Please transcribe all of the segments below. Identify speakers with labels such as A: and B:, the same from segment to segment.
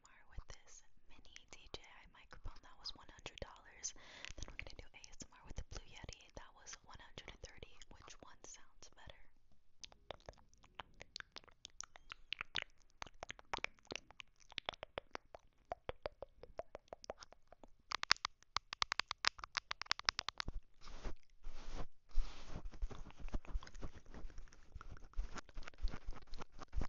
A: ASMR with this mini DJI microphone. That was $100. Then we're gonna do ASMR with the Blue Yeti. That was 130 Which one sounds better?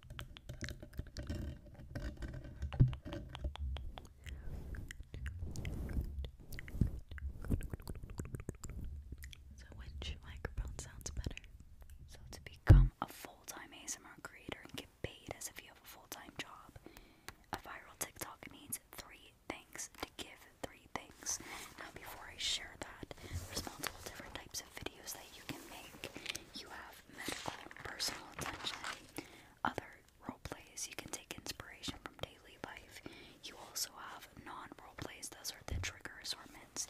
A: So, which microphone sounds better? So, to become a full time ASMR creator and get paid as if you have a full time job, a viral TikTok needs three things to give three things. Now, before I share that, there's multiple different types of videos that you can make. You have medical personal attention.
B: Other role plays you can take inspiration from daily
A: life. You also have non role plays, those are the trigger assortments.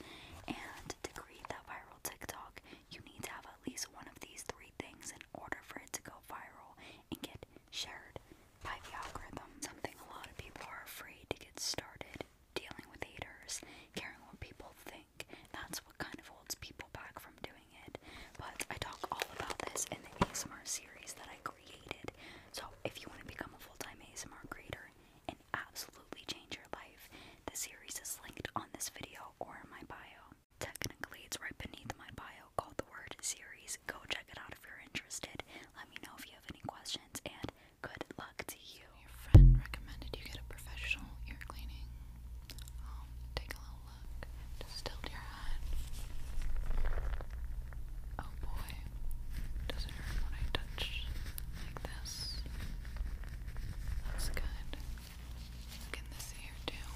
A: And to create that viral TikTok, you need to have at least one of these three things in order for it to go viral and get shared by the algorithm. Something a lot of people are afraid to get started dealing with haters, caring what people think that's what kind of holds people back from doing it. But I talk all about this in the ASMR series that I created. So if you want to become a full-time ASMR creator and absolutely change your life, the series is linked on this video or in my bio. Technically, it's right beneath my bio called the word series. Go check it out if you're interested. Let me know if you have any questions and good luck to you. Your friend recommended you get a professional ear cleaning take a little look. Just your head. Oh boy,
C: does it hurt when I touch like this? That's good. Look this ear too.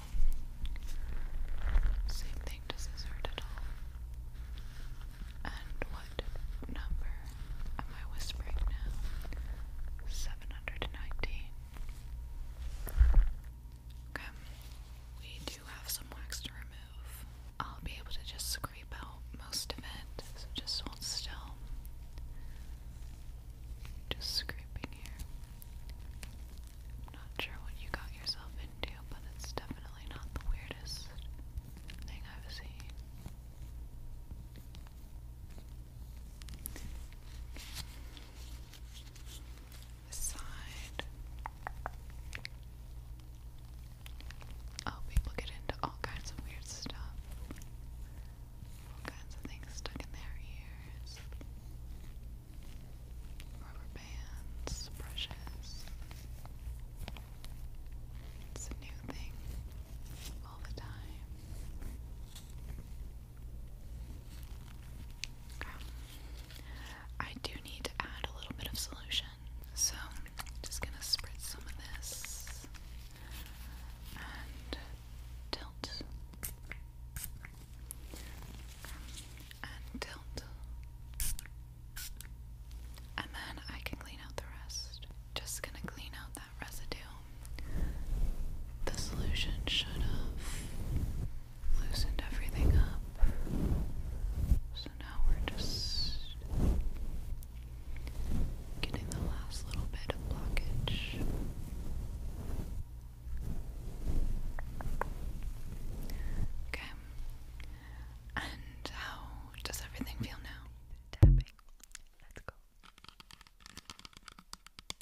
C: Same thing, does this hurt at all? And what number am I whispering now? 719. Okay, we do have some wax to remove. I'll be able to just scrape out most of it, so just hold still. Just scraping here. not sure what you got yourself into, but it's definitely not the weirdest thing I've seen. Oh, people get into all kinds of weird stuff. All kinds of things stuck in their ears. Rubber bands, brushes. It's new thing all the time. I do need to add a little bit of solution, so just gonna spritz some of this and tilt and tilt, and then I can clean out the rest. Just gonna clean out residue. The solution should have loosened everything up. So now we're just getting the last little bit of blockage. Okay. And how does everything feel
A: now? Tapping. Let's go.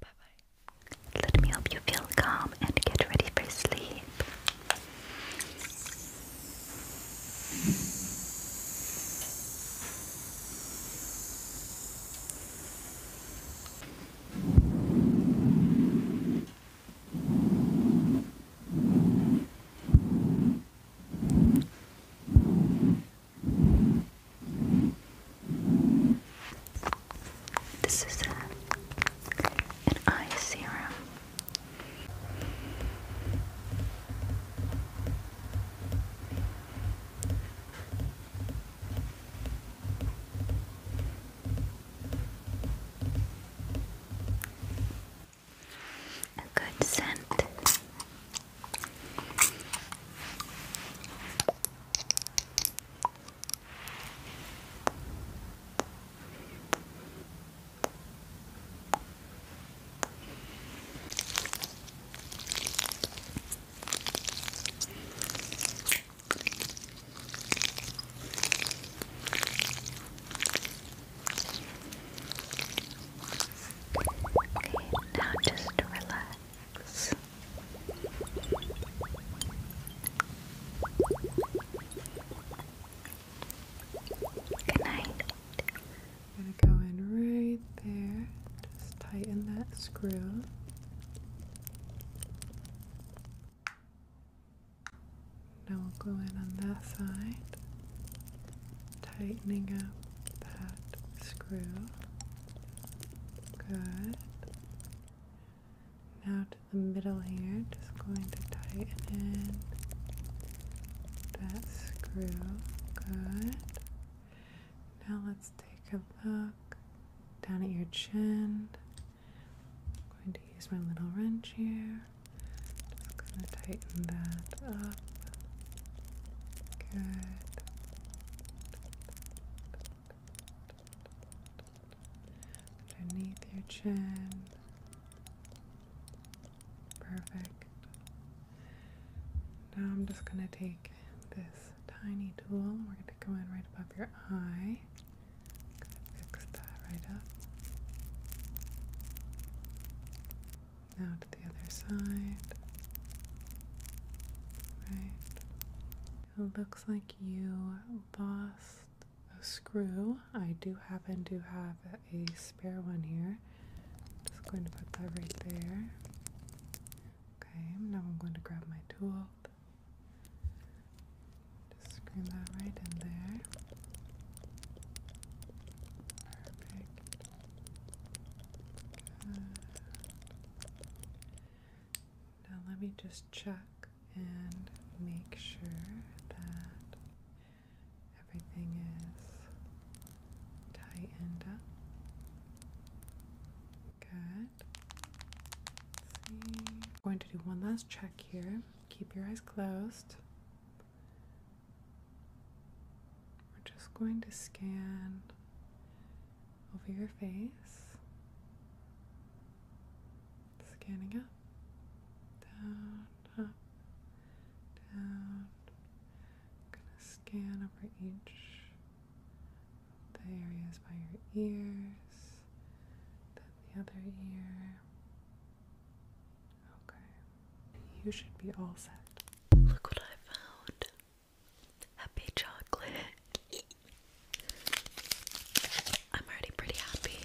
A: bye Let me help you feel calm and get ready for sleep.
B: This is a, uh, an eye serum a good scent. Okay, now just relax. Good night. I'm gonna go in right there, just tighten that screw. Now we'll go in on that side, tightening up that screw. Good. Now to the middle here, just going to tighten in that screw. Good. Now let's take a look down at your chin. I'm going to use my little wrench here. Just going to tighten that up. Good. Underneath your chin. Perfect. Now I'm just going to take this tiny tool and we're going to go in right above your eye. Fix that right up. Now to the other side. Right. It looks like you lost a screw. I do happen to have it a spare one here. Just going to put that right there. Okay, now I'm going to grab my tool. Just screw that right in there. Perfect. Now let me just check and make sure that Everything is tightened up. Good. I'm going to do one last check here. Keep your eyes closed. We're just going to scan over your face. Scanning up, down, up, down. I'm gonna scan over each of the areas by your ears, then the other ear. Okay. You should be all set.
C: Look what I found. Happy chocolate. I'm already pretty happy.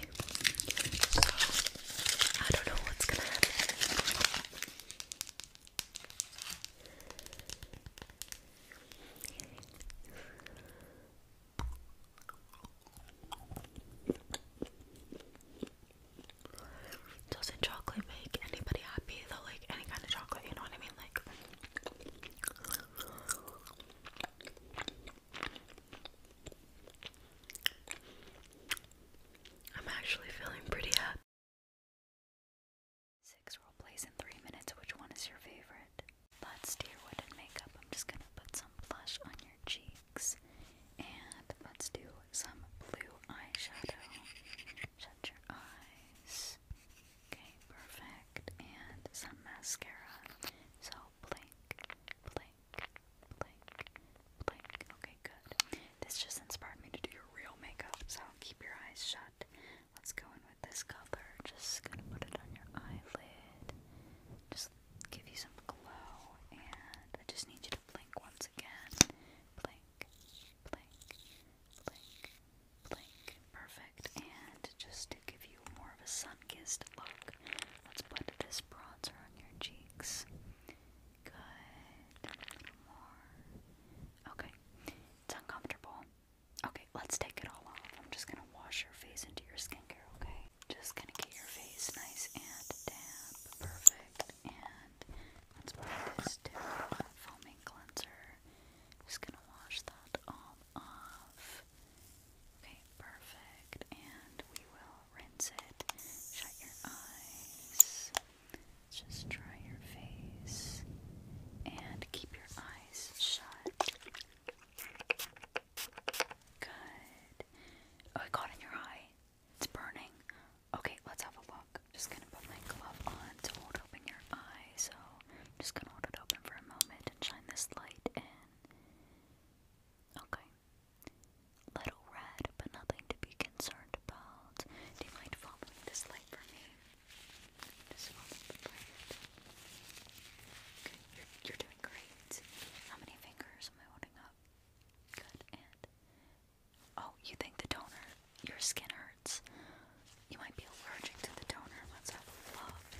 C: I don't know what's gonna happen.
A: does chocolate make anybody happy though? Like any kind of chocolate, you know what I mean? Like. I'm actually feeling pretty happy. Six role plays in three minutes. Which one is your favorite? Let's do your makeup. I'm just gonna put some blush on your cheeks, and let's do some blue eyeshadow. Shut your eyes. Okay, perfect. And some mascara. So blink, blink. Okay, good. This just inspired me to do your real makeup, so keep your eyes shut. Let's go in with this color. Just gonna put it on your eyelid. Just give you some glow, and I just need you to blink once again. Blink, blink, blink, blink. Perfect. And just to give you more of a sun-kissed look, let's put this bronzer on your cheeks. Okay. It's uncomfortable. Okay, let's take it all off. I'm just gonna wash your face into your skincare, okay? Just gonna get your face nice and damp. Perfect. And let's put this down foaming cleanser. Just gonna wash that all off. Okay, perfect. And we will rinse it. Shut your eyes. Just dry your face and keep your eyes shut. Good. Oh, it caught in your eye. It's burning. Okay, let's have a look. Just gonna put my glove on to hold open your eye. So just gonna hold it open for a moment and shine this light in. Okay. Little red, but nothing to be concerned about. Do you mind following this light for me? you're, doing great. How many fingers am I holding up? Good, and... Oh, you think the toner, your skin hurts. You might be allergic to the toner. Let's have a look.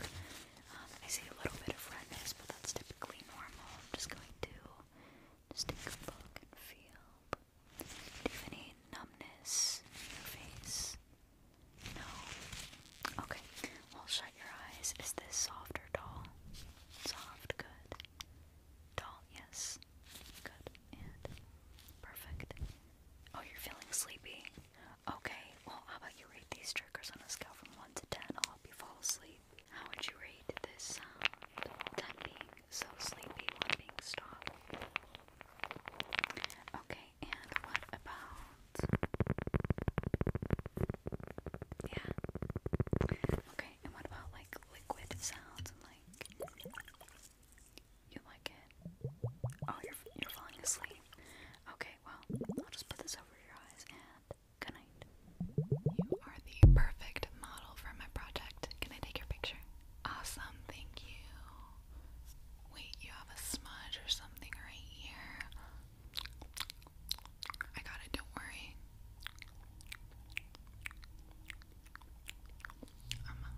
A: Um, I see a little bit of redness, but that's typically normal. I'm just going to just take a look and feel. Do you have any numbness in your face? No? Okay. Well, shut your eyes. Is this soft or Soft, good. Dull, yes. Good. And perfect. Oh, you're feeling sleepy? Okay. Well, how about you rate these triggers on a scale from 1 to 10? I'll help you fall asleep. How would you rate this sound? being so sleepy, being stop. Okay, and what about. Yeah. Okay, and what about like liquid sounds and like. You like it? Oh, you're, you're falling asleep. Okay, well, I'll just put this over your eyes and Good night.
C: You are the perfect model for my project. Can I take your picture? Awesome, thank you. Wait, you have a smudge or something right here. I got it, don't worry. Um,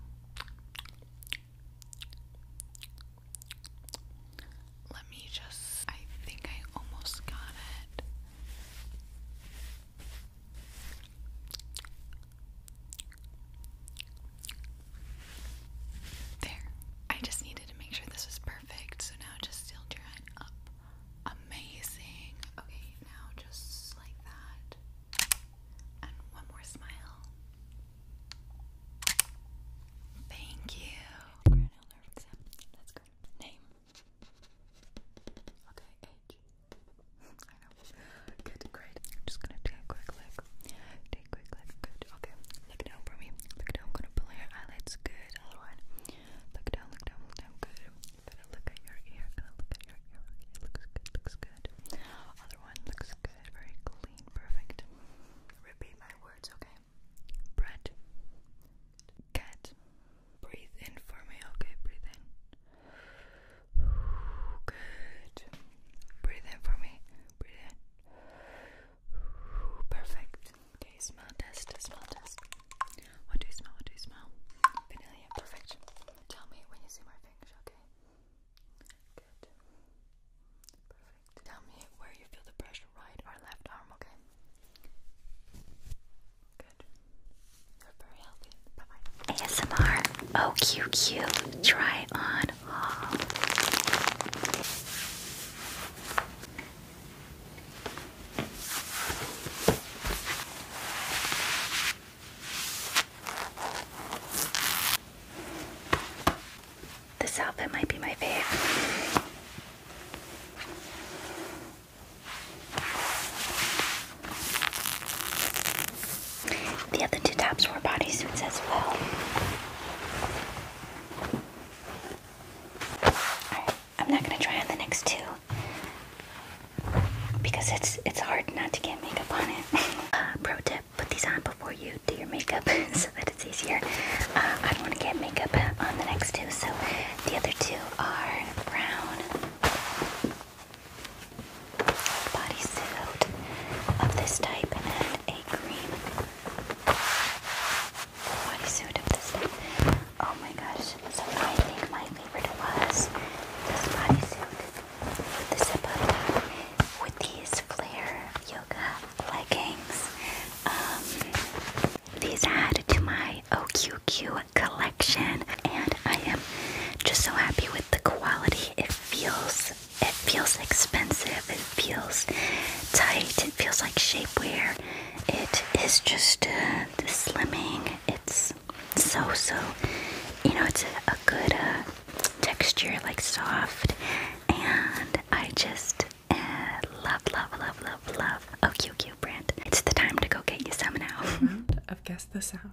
C: let me just. I think I almost got it. There. I just needed to make sure this was perfect, so now just still draw it up. Amazing. Okay, now just like that. And one more smile. Thank you. Let's Name. Okay, H. I know. Good, great. I'm just gonna take a quick look. Take a quick look. Good. Okay. Look down for me. Look down. gonna pull your eyelids.
A: Good. Other one. Look down. Look down. Look down. Good. look at your ear. look at your ear. It looks good. Looks good. Other one looks good. Very clean. Perfect. Repeat my words. Okay. Bread. Cat. Breathe in for me, okay? Breathe in. Good. Breathe in for me. Breathe in. Perfect. Okay, smell test, smell test. What do you smell? What do you smell? Vanilla, perfect. Tell me when you see my fingers, okay? Good. Perfect. Tell me where you feel the pressure, right or left arm, Okay good. You're very ASMR OQQ oh, try on haul. This outfit might be my favorite. The other two tops were bodysuits as well. I'm not gonna try on the next two because it's it's hard not to get makeup on it. uh, pro tip, put these on before you do your makeup so that it's easier. Uh, I don't want to get makeup on the next two, so the other two are brown bodysuit of this type and a cream bodysuit of this type. Oh my gosh. So I think my favorite was this bodysuit with these flare yoga leggings. Um, these add to my OQQ collection, and I am just so happy with the quality. It feels it feels expensive. It feels tight. It feels like shapewear. It is just the slimming. It's so so. You know, it's a, good texture, like soft, and I just love, love, love, love, love OQQ. It's the time to go get you some now. I've guessed the sound.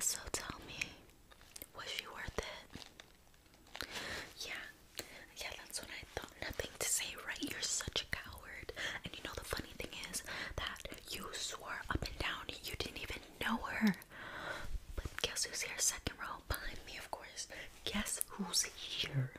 A: So tell me, was she worth it? Yeah, yeah, that's what I thought. Nothing to say, right? You're such a coward. And you know, the funny thing is that you swore up and down you didn't even know her. But guess who's here? Second row behind me, of course. Guess who's here?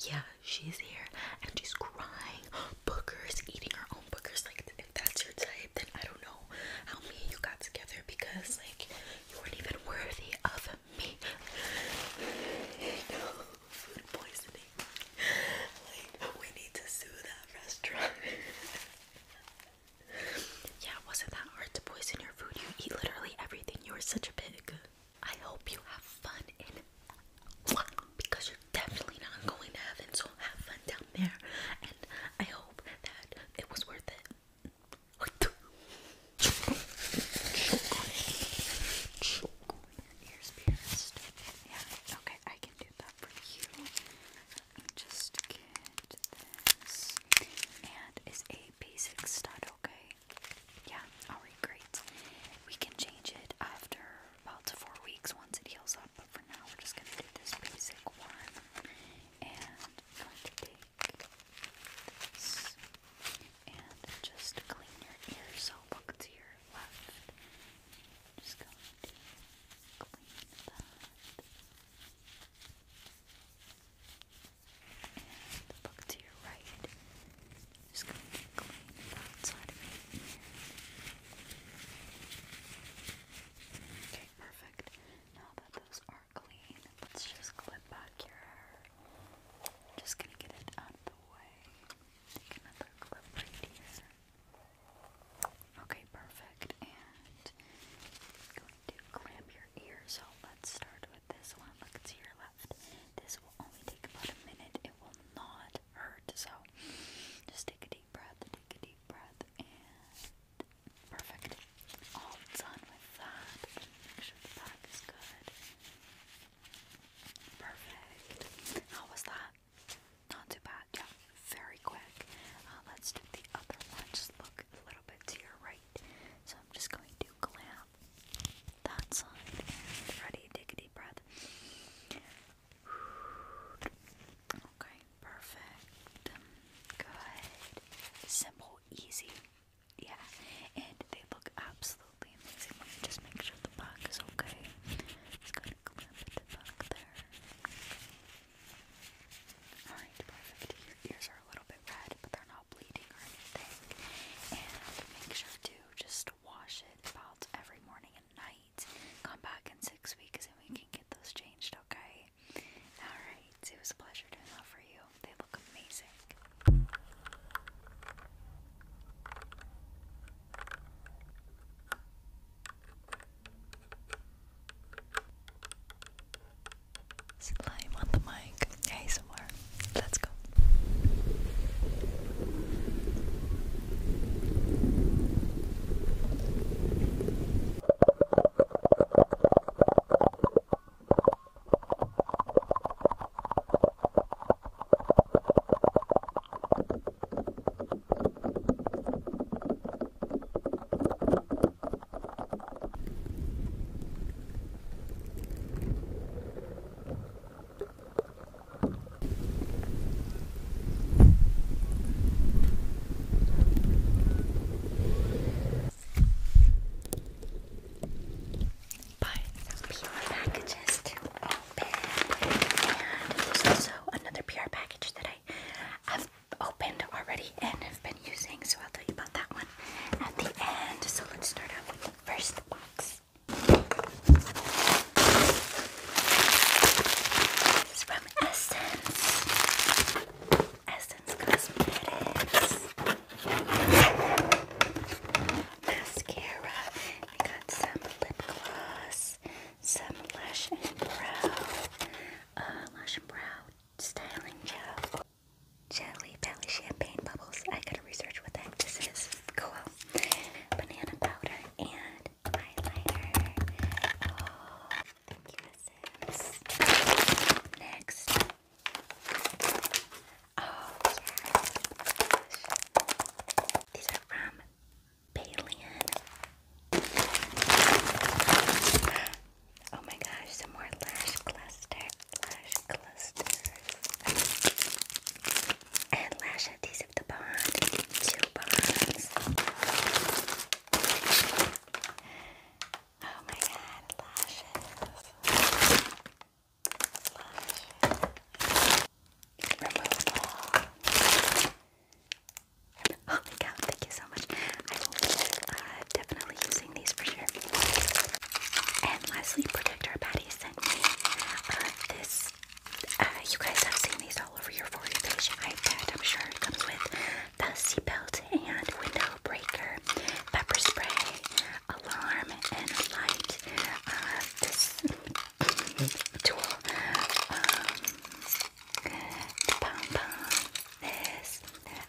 A: Yeah, she's here and she's crying. Bookers, eating her own bookers. Like, if that's your type, then I don't know how me and you got together because, like, you weren't even worthy of me. Food poisoning. Like, we need to sue them restaurant. yeah, wasn't that hard to poison your food. You eat literally everything. You are such a pig. I hope you have fun in because you're definitely not going to heaven, so have fun down there. And I hope that it was worth it. Yeah, okay. I can do that for you. just get this. And it's a basic stud, okay? Yeah, alright, great. We can change it after about four weeks once it heals up, but for now we're just gonna do this basic one. And going to take this and just clean your ears. So look to your left just going to clean that. And look to your right. Just going to clean that side of your Okay, perfect. Now that those are clean, let's just clip back your hair. Just gonna get it out of the way. another clip right here. Okay, perfect. And going to clamp your ear. So let's start with this one. Look, it's your left. This will only take about a minute. It will not hurt. So just take a deep breath, take a deep breath, and perfect. All done with that. Make sure the back is good. Perfect. How was that? Not too bad. Yeah, very quick. Uh, let's do the other one. Just look a little bit to your right. So I'm just going to clamp that side. And ready? Take a deep breath. Okay, perfect. Um, Good. Simple, easy. Yeah, and they look absolutely amazing. just make sure the back is okay. Just gonna clamp Alright, perfect. Your ears are a little bit red, but they're not bleeding or anything. And make sure to just wash it about every morning and night. Come back in six weeks and we can get those changed, okay? Alright, it was a pleasure doing that for you. They look amazing. Slime on the mic. Hey, somewhere. Let's go. But some PR packages to open, and there's also another PR package that I have opened already and have been using, so I'll tell you about that one at the end. So let's start off with the first box. This is from Essence. Essence Cosmetics. Mascara. I got some lip gloss some Lash and Brow, uh, Brow Styling Gel. Jelly Belly Champagne Bubbles. I gotta research what the heck this is. Cool. Banana powder and eyeliner. Oh, thank you, sis. Next. Oh, These are from Paleon. Oh my gosh, some more lash cluster, lash clusters. And lash adhesive to bond, two bonds. Oh my god, lashes. Lashes. Oh my thank you so much. I will be uh, using these for sure. And lastly, Protector Patty sent me uh, this. Uh, you guys have seen these all over your For page. iPad, I'm sure it comes with the seatbelt and window breaker, pepper spray, alarm, and light. tool. Um,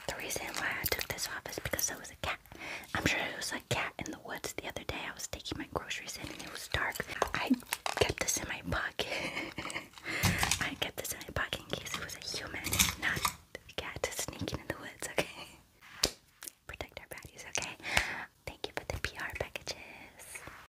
A: the reason why I took this off is because there was a cat. I'm sure it was a cat in the woods the other day. I was taking my groceries in and it was dark. I kept this in my pocket. I kept this in my pocket in case it was a human, not a cat sneaking in the woods, okay? Protect our bodies, okay? Thank you for the PR packages.